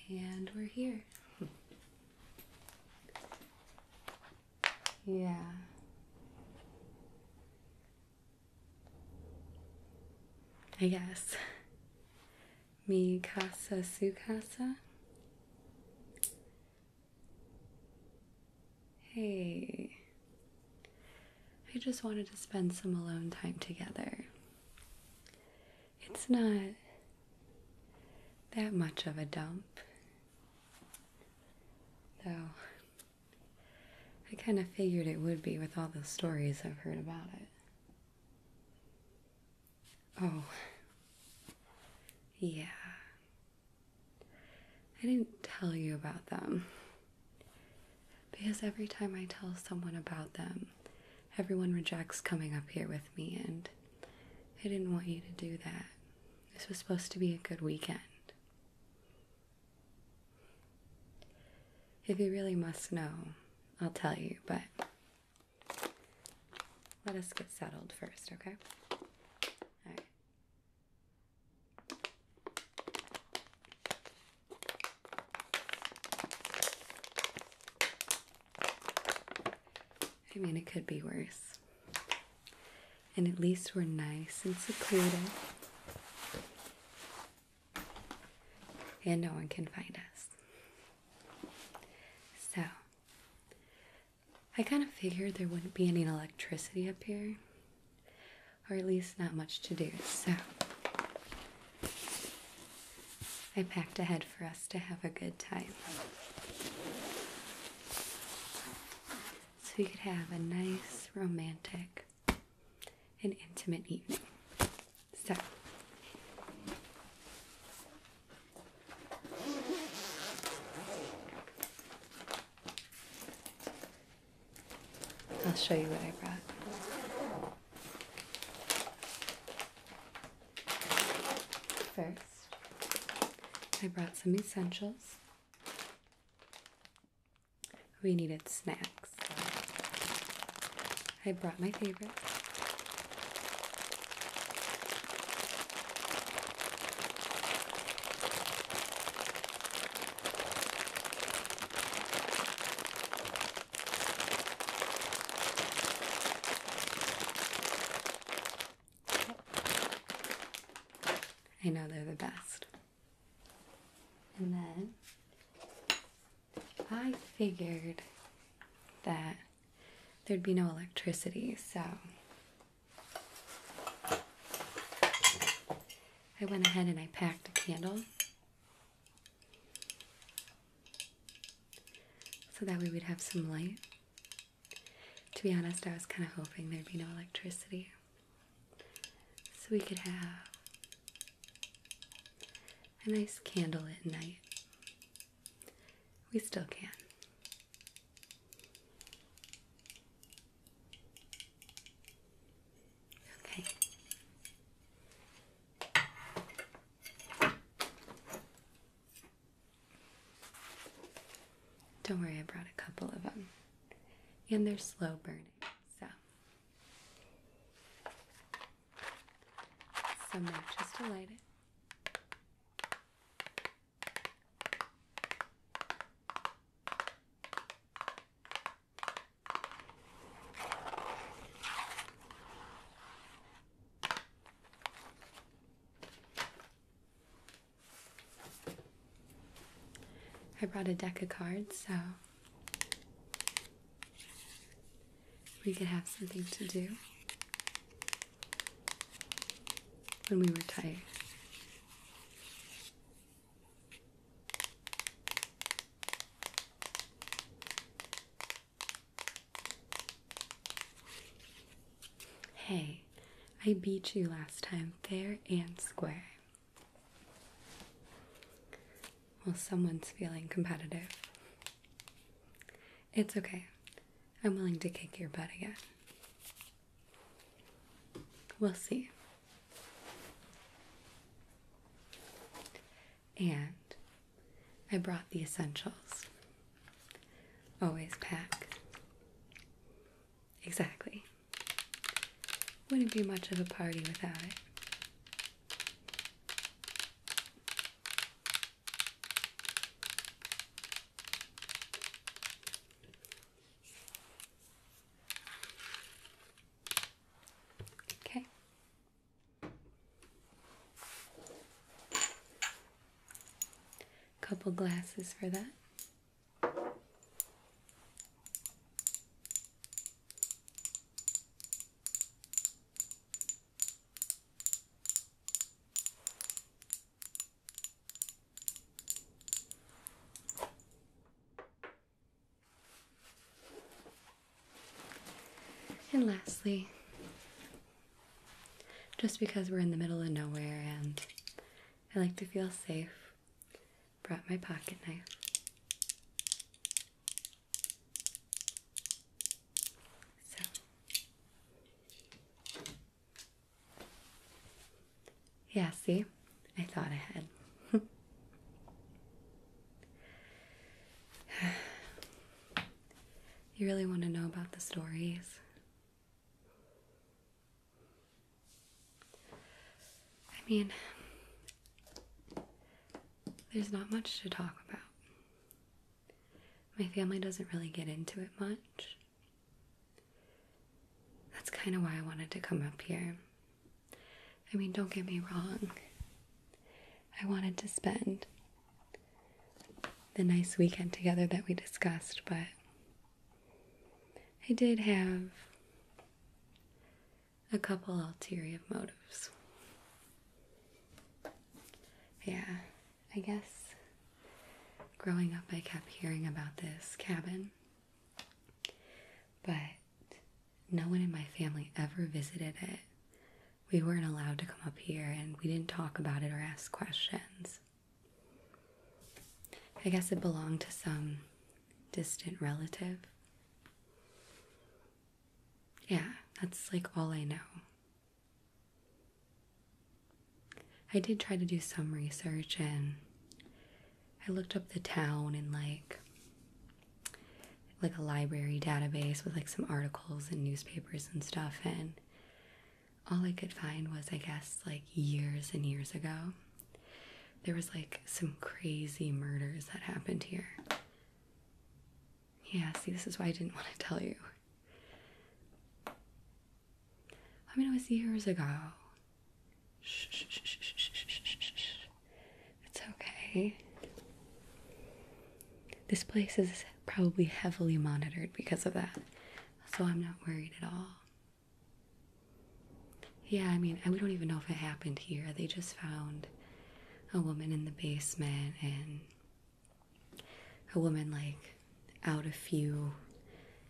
And we're here. yeah. I guess. Mi casa, su casa. Hey, I just wanted to spend some alone time together. It's not that much of a dump, though. I kind of figured it would be with all the stories I've heard about it. Oh. Yeah. I didn't tell you about them. Because every time I tell someone about them, everyone rejects coming up here with me, and I didn't want you to do that. This was supposed to be a good weekend. If you really must know, I'll tell you, but let us get settled first, okay? I mean, it could be worse. And at least we're nice and secluded. And no one can find us. So, I kind of figured there wouldn't be any electricity up here, or at least not much to do, so I packed ahead for us to have a good time. So we could have a nice, romantic, and intimate evening. So I'll show you what I brought. First, I brought some essentials. We needed snacks. I brought my favorite. I know they're the best. And then I figured that there'd be no electricity, so I went ahead and I packed a candle so that we would have some light. To be honest, I was kind of hoping there'd be no electricity so we could have a nice candle at night. We still can. Okay. Don't worry, I brought a couple of them. And they're slow burning, so some matches to light it. I brought a deck of cards, so we could have something to do when we were tired. Hey, I beat you last time, fair and square. Well, someone's feeling competitive. It's okay. I'm willing to kick your butt again. We'll see. And I brought the essentials. Always pack. Exactly. Wouldn't be much of a party without it. Okay. Couple glasses for that. And lastly, just because we're in the middle of nowhere and I like to feel safe, brought my pocket knife. So yeah, see, I thought I had. you really want to know about the stories? I mean, there's not much to talk about. My family doesn't really get into it much. That's kind of why I wanted to come up here. I mean, don't get me wrong. I wanted to spend the nice weekend together that we discussed, but I did have a couple ulterior motives. Yeah, I guess growing up, I kept hearing about this cabin, but no one in my family ever visited it. We weren't allowed to come up here and we didn't talk about it or ask questions. I guess it belonged to some distant relative. Yeah, that's like all I know. I did try to do some research and I looked up the town in like like a library database with like some articles and newspapers and stuff and all I could find was I guess like years and years ago there was like some crazy murders that happened here. Yeah, see, this is why I didn't want to tell you. I mean, it was years ago. Shh, shh, shh, shh, shh, shh, It's okay. This place is probably heavily monitored because of that, so I'm not worried at all. Yeah, I mean, we don't even know if it happened here. They just found a woman in the basement and a woman like out a few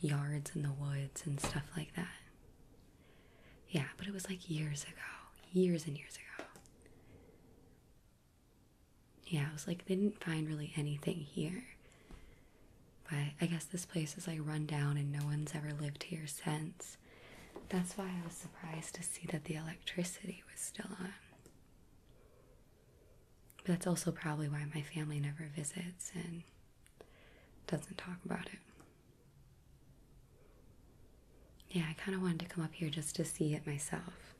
yards in the woods and stuff like that. Yeah, but it was like years ago, years and years ago. Yeah, I was like, they didn't find really anything here. But I guess this place is like run down and no one's ever lived here since. That's why I was surprised to see that the electricity was still on. But That's also probably why my family never visits and doesn't talk about it. Yeah, I kind of wanted to come up here just to see it myself.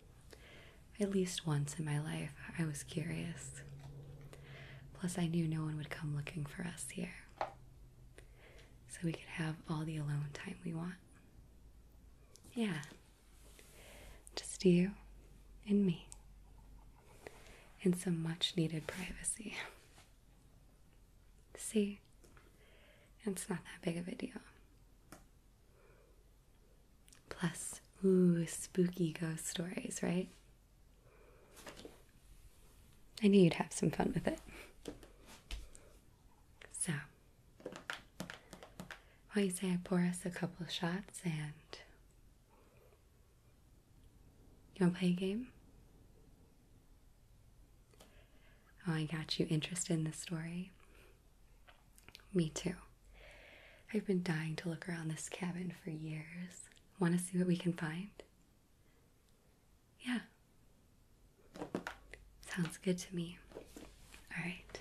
At least once in my life, I was curious. Plus, I knew no one would come looking for us here. So we could have all the alone time we want. Yeah, just you and me. And some much needed privacy. See, it's not that big of a deal. Plus, ooh, spooky ghost stories, right? I knew you'd have some fun with it. So, why don't you say I pour us a couple shots and you wanna play a game? Oh, I got you interested in the story. Me too. I've been dying to look around this cabin for years. Wanna see what we can find? Yeah. Sounds good to me. All right.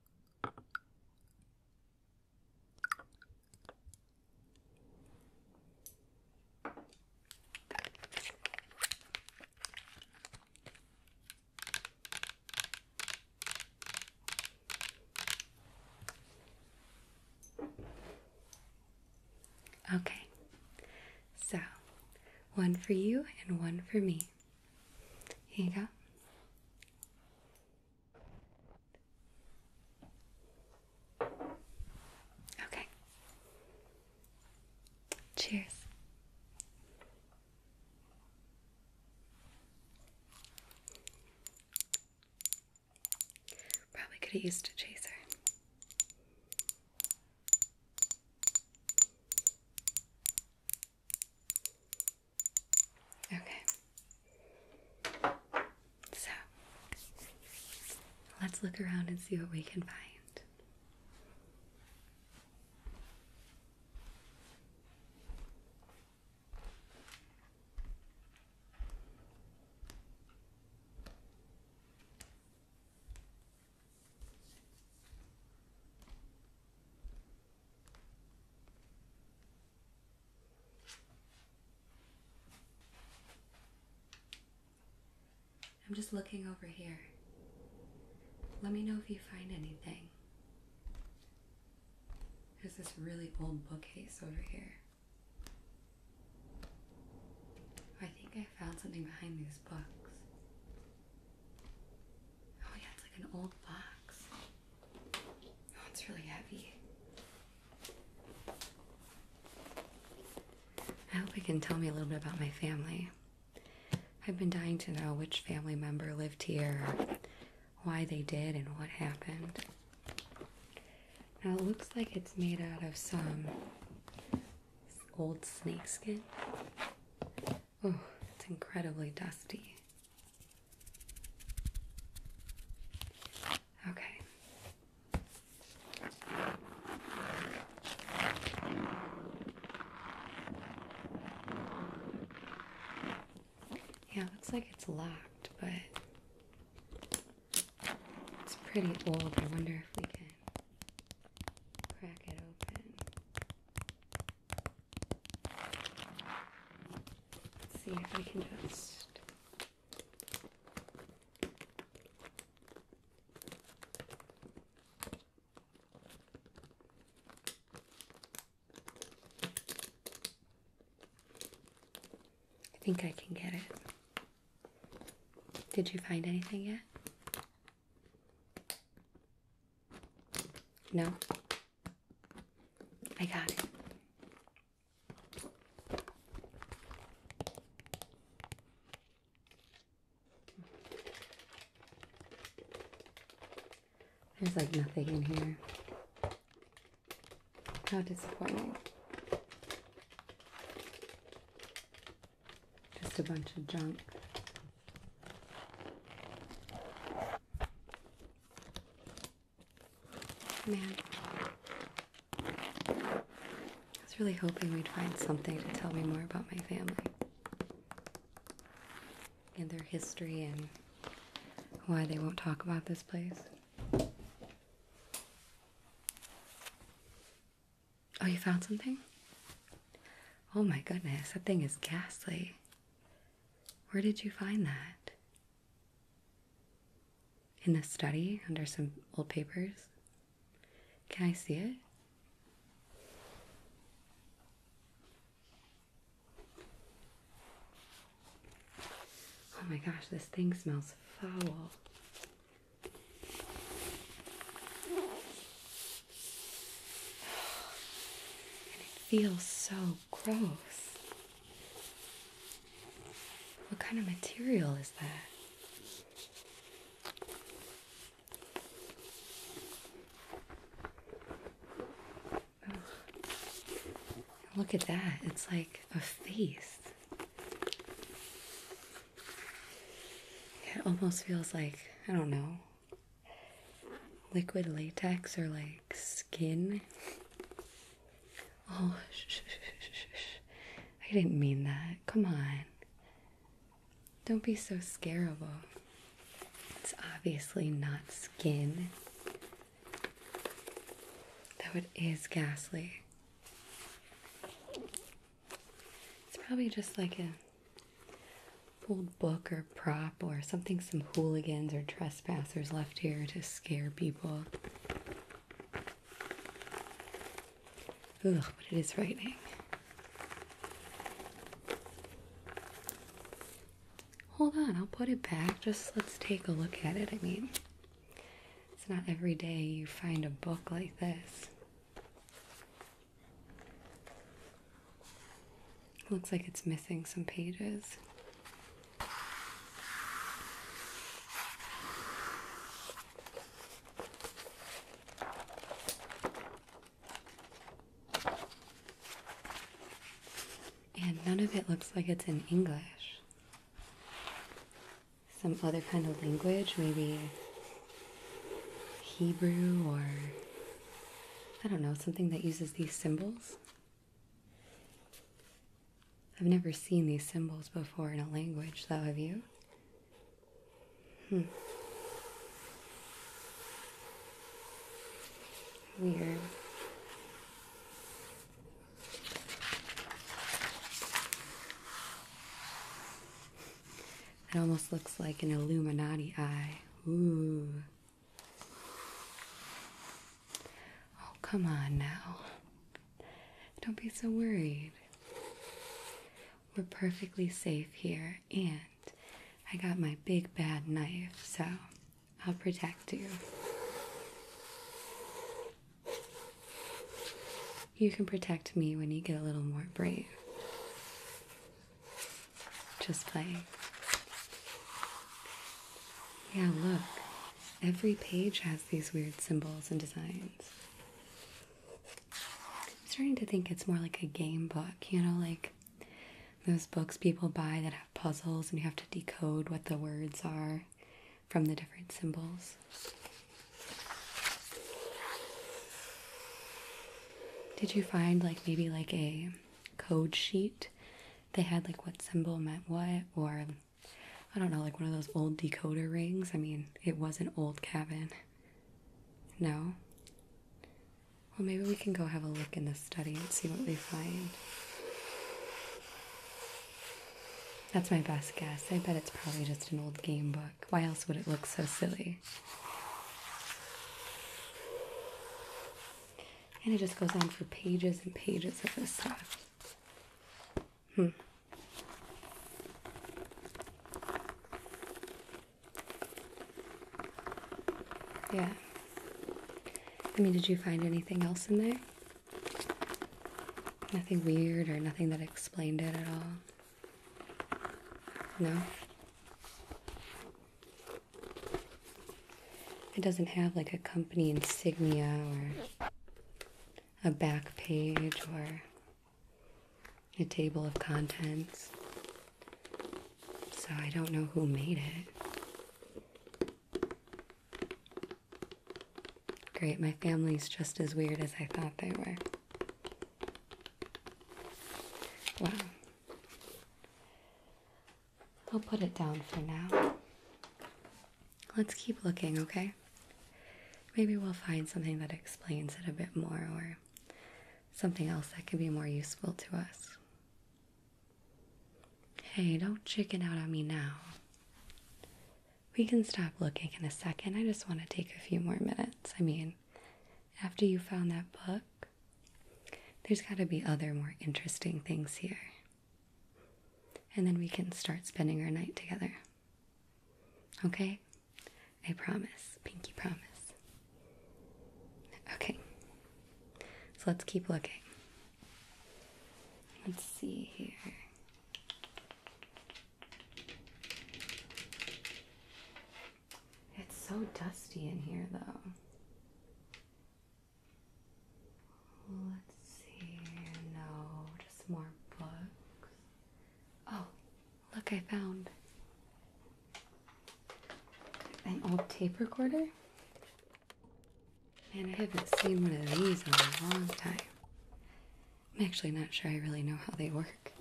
Okay, so one for you and one for me. Here you go. Okay. Cheers. Probably could have used a chaser. Okay. So let's look around and see what we can find. I'm just looking over here. Let me know if you find anything. There's this really old bookcase over here. I think I found something behind these books. Oh yeah, it's like an old box. Oh, it's really heavy. I hope it can tell me a little bit about my family. I've been dying to know which family member lived here, why they did, and what happened. Now it looks like it's made out of some old snakeskin. Oh, it's incredibly dusty. Okay. Yeah, looks like it's locked, but it's pretty old. I wonder if we can crack it open. Let's see if I can just I think I can get it. Did you find anything yet? No. I got it. There's like nothing in here. How disappointing. Just a bunch of junk. Man, I was really hoping we'd find something to tell me more about my family and their history and why they won't talk about this place. Oh, you found something? Oh my goodness, that thing is ghastly. Where did you find that? In the study under some old papers? Can I see it? Oh my gosh, this thing smells foul. And it feels so gross. What kind of material is that? Look at that. It's like a face. It almost feels like, I don't know, liquid latex or like skin. Oh, shh, shh, shh, shh, shh. I didn't mean that. Come on. Don't be so scarable. It's obviously not skin. Though it is ghastly. It's probably just like a old book or prop or something some hooligans or trespassers left here to scare people. Ugh, but it is frightening. Hold on, I'll put it back. Just let's take a look at it. I mean, it's not every day you find a book like this. Looks like it's missing some pages. And none of it looks like it's in English. Some other kind of language, maybe Hebrew or I don't know, something that uses these symbols. I've never seen these symbols before in a language, though, have you? Hmm. Weird. It almost looks like an Illuminati eye. Ooh. Oh, come on now. Don't be so worried. We're perfectly safe here, and I got my big bad knife, so I'll protect you. You can protect me when you get a little more brave. Just playing. Yeah, look. Every page has these weird symbols and designs. I'm starting to think it's more like a game book, you know, like those books people buy that have puzzles and you have to decode what the words are from the different symbols. Did you find like maybe like a code sheet they had like what symbol meant what, or I don't know, like one of those old decoder rings. I mean, it was an old cabin. No? Well, maybe we can go have a look in the study and see what we find. That's my best guess. I bet it's probably just an old game book. Why else would it look so silly? And it just goes on for pages and pages of this stuff. Hmm. Yeah. I mean, did you find anything else in there? Nothing weird or nothing that explained it at all? No? It doesn't have like a company insignia or a back page or a table of contents. So I don't know who made it. Great, my family's just as weird as I thought they were. Wow. I'll put it down for now. Let's keep looking, okay? Maybe we'll find something that explains it a bit more or something else that could be more useful to us. Hey, don't chicken out on me now. We can stop looking in a second. I just want to take a few more minutes. I mean, after you found that book, there's got to be other more interesting things here. And then we can start spending our night together. Okay? I promise. Pinky promise. Okay. So let's keep looking. Let's see here. It's so dusty in here, though. Let's see. No, just more books. Oh, look, I found an old tape recorder. Man, I haven't seen one of these in a long time. I'm actually not sure I really know how they work.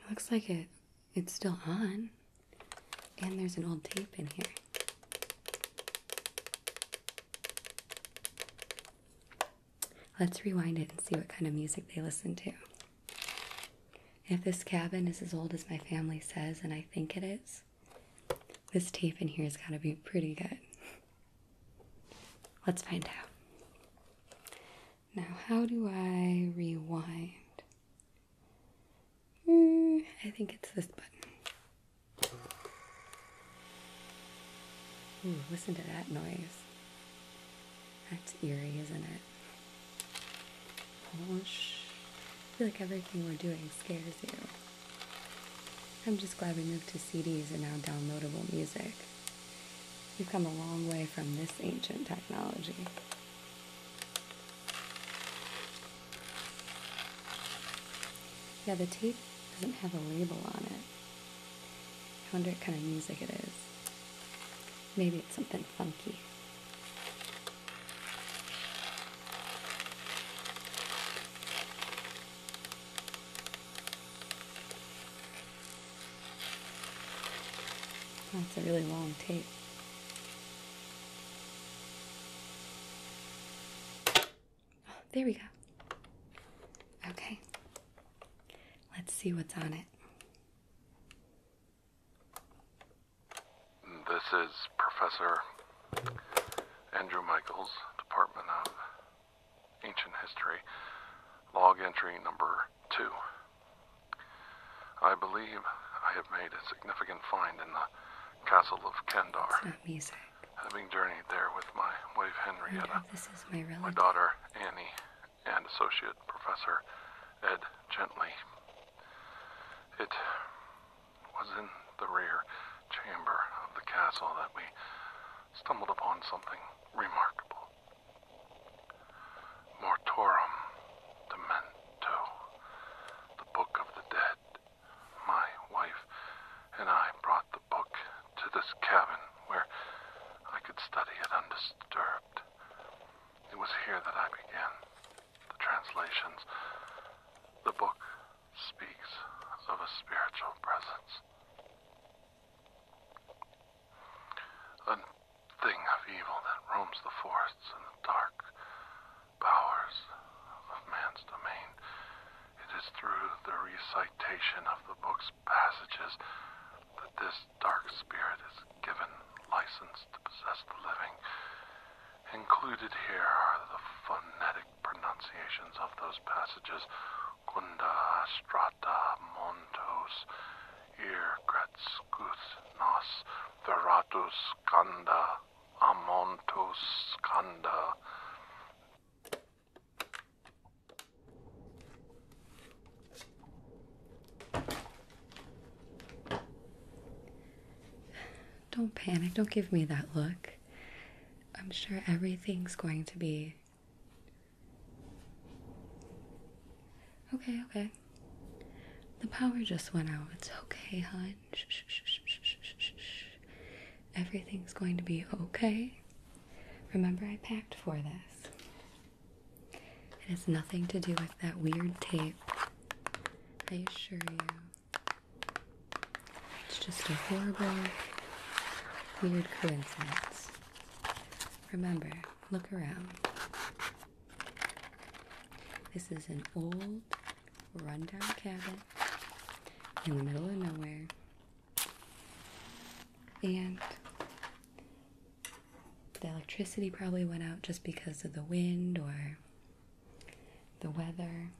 It looks like it it's still on. And there's an old tape in here. Let's rewind it and see what kind of music they listen to. If this cabin is as old as my family says, and I think it is, this tape in here has got to be pretty good. Let's find out. Now, how do I rewind? Hmm, I think it's this button. listen to that noise. That's eerie, isn't it? Oh, I feel like everything we're doing scares you. I'm just glad we moved to CDs and now downloadable music. We've come a long way from this ancient technology. Yeah, the tape doesn't have a label on it. I wonder what kind of music it is. Maybe it's something funky. That's a really long tape. There we go. Okay. Let's see what's on it. This is Professor Andrew Michaels, Department of Ancient History, log entry number two. I believe I have made a significant find in the castle of Kendar. It's not music. Having journeyed there with my wife Henrietta, my daughter Annie, and associate professor Ed Gently. It was in the rear chamber of the castle that we stumbled upon something remarkable. Mortorum Demento, the Book of the Dead. My wife and I brought the book to this cabin where I could study it undisturbed. It was here that I began the translations. The book speaks of a spiritual presence. A thing of evil that roams the forests and the dark bowers of man's domain. It is through the recitation of the book's passages that this dark spirit is given license to possess the living. Included here are the phonetic pronunciations of those passages Gunda, Strata, Montos, Irgratskuth nos Veratus Skanda Amontus kanda. Don't panic. Don't give me that look. I'm sure everything's going to be Okay, okay. The power just went out. It's okay, hun. Everything's going to be okay. Remember, I packed for this. It has nothing to do with that weird tape. I assure you. It's just a horrible, weird coincidence. Remember, look around. This is an old, rundown cabin in the middle of nowhere. And the electricity probably went out just because of the wind or the weather,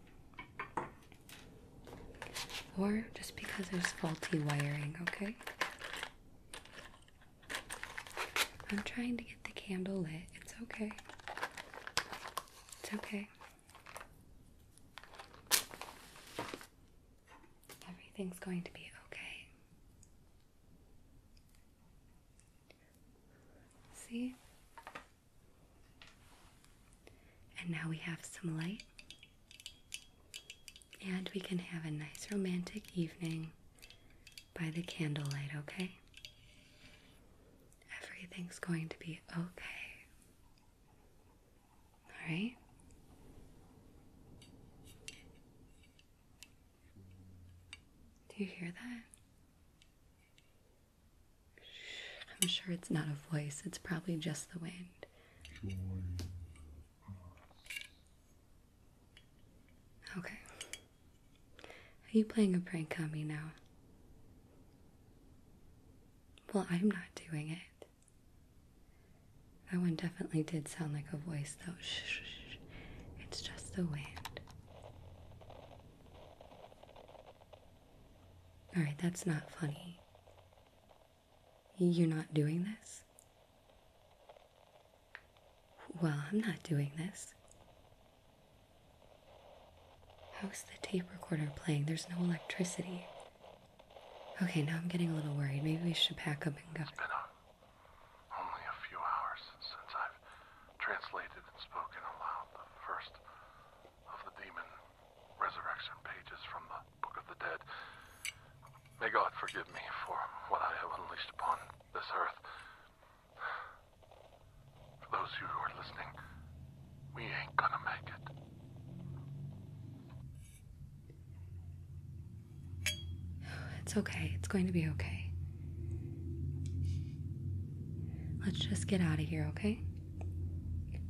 or just because there's faulty wiring, okay? I'm trying to get the candle lit. It's okay. It's okay. Everything's going to be okay. See? And now we have some light and we can have a nice romantic evening by the candlelight, okay? Everything's going to be okay. All right? Do you hear that? I'm sure it's not a voice, it's probably just the wind. Okay. Are you playing a prank on me now? Well, I'm not doing it. That one definitely did sound like a voice, though. It's just the wind. Alright, that's not funny. You're not doing this? Well, I'm not doing this. How's the tape recorder playing? There's no electricity. Okay, now I'm getting a little worried. Maybe we should pack up and go. It's been uh, only a few hours since I've translated and spoken aloud the first of the demon resurrection pages from the Book of the Dead. May God forgive me for what I have unleashed upon this earth. For those of you who are listening, we ain't gonna make it. It's okay. It's going to be okay. Let's just get out of here, okay?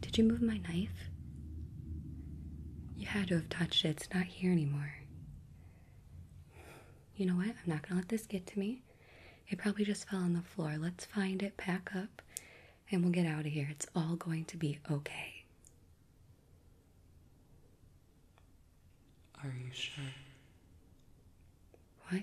Did you move my knife? You had to have touched it. It's not here anymore. You know what? I'm not going to let this get to me. It probably just fell on the floor. Let's find it, pack up, and we'll get out of here. It's all going to be okay. Are you sure? What?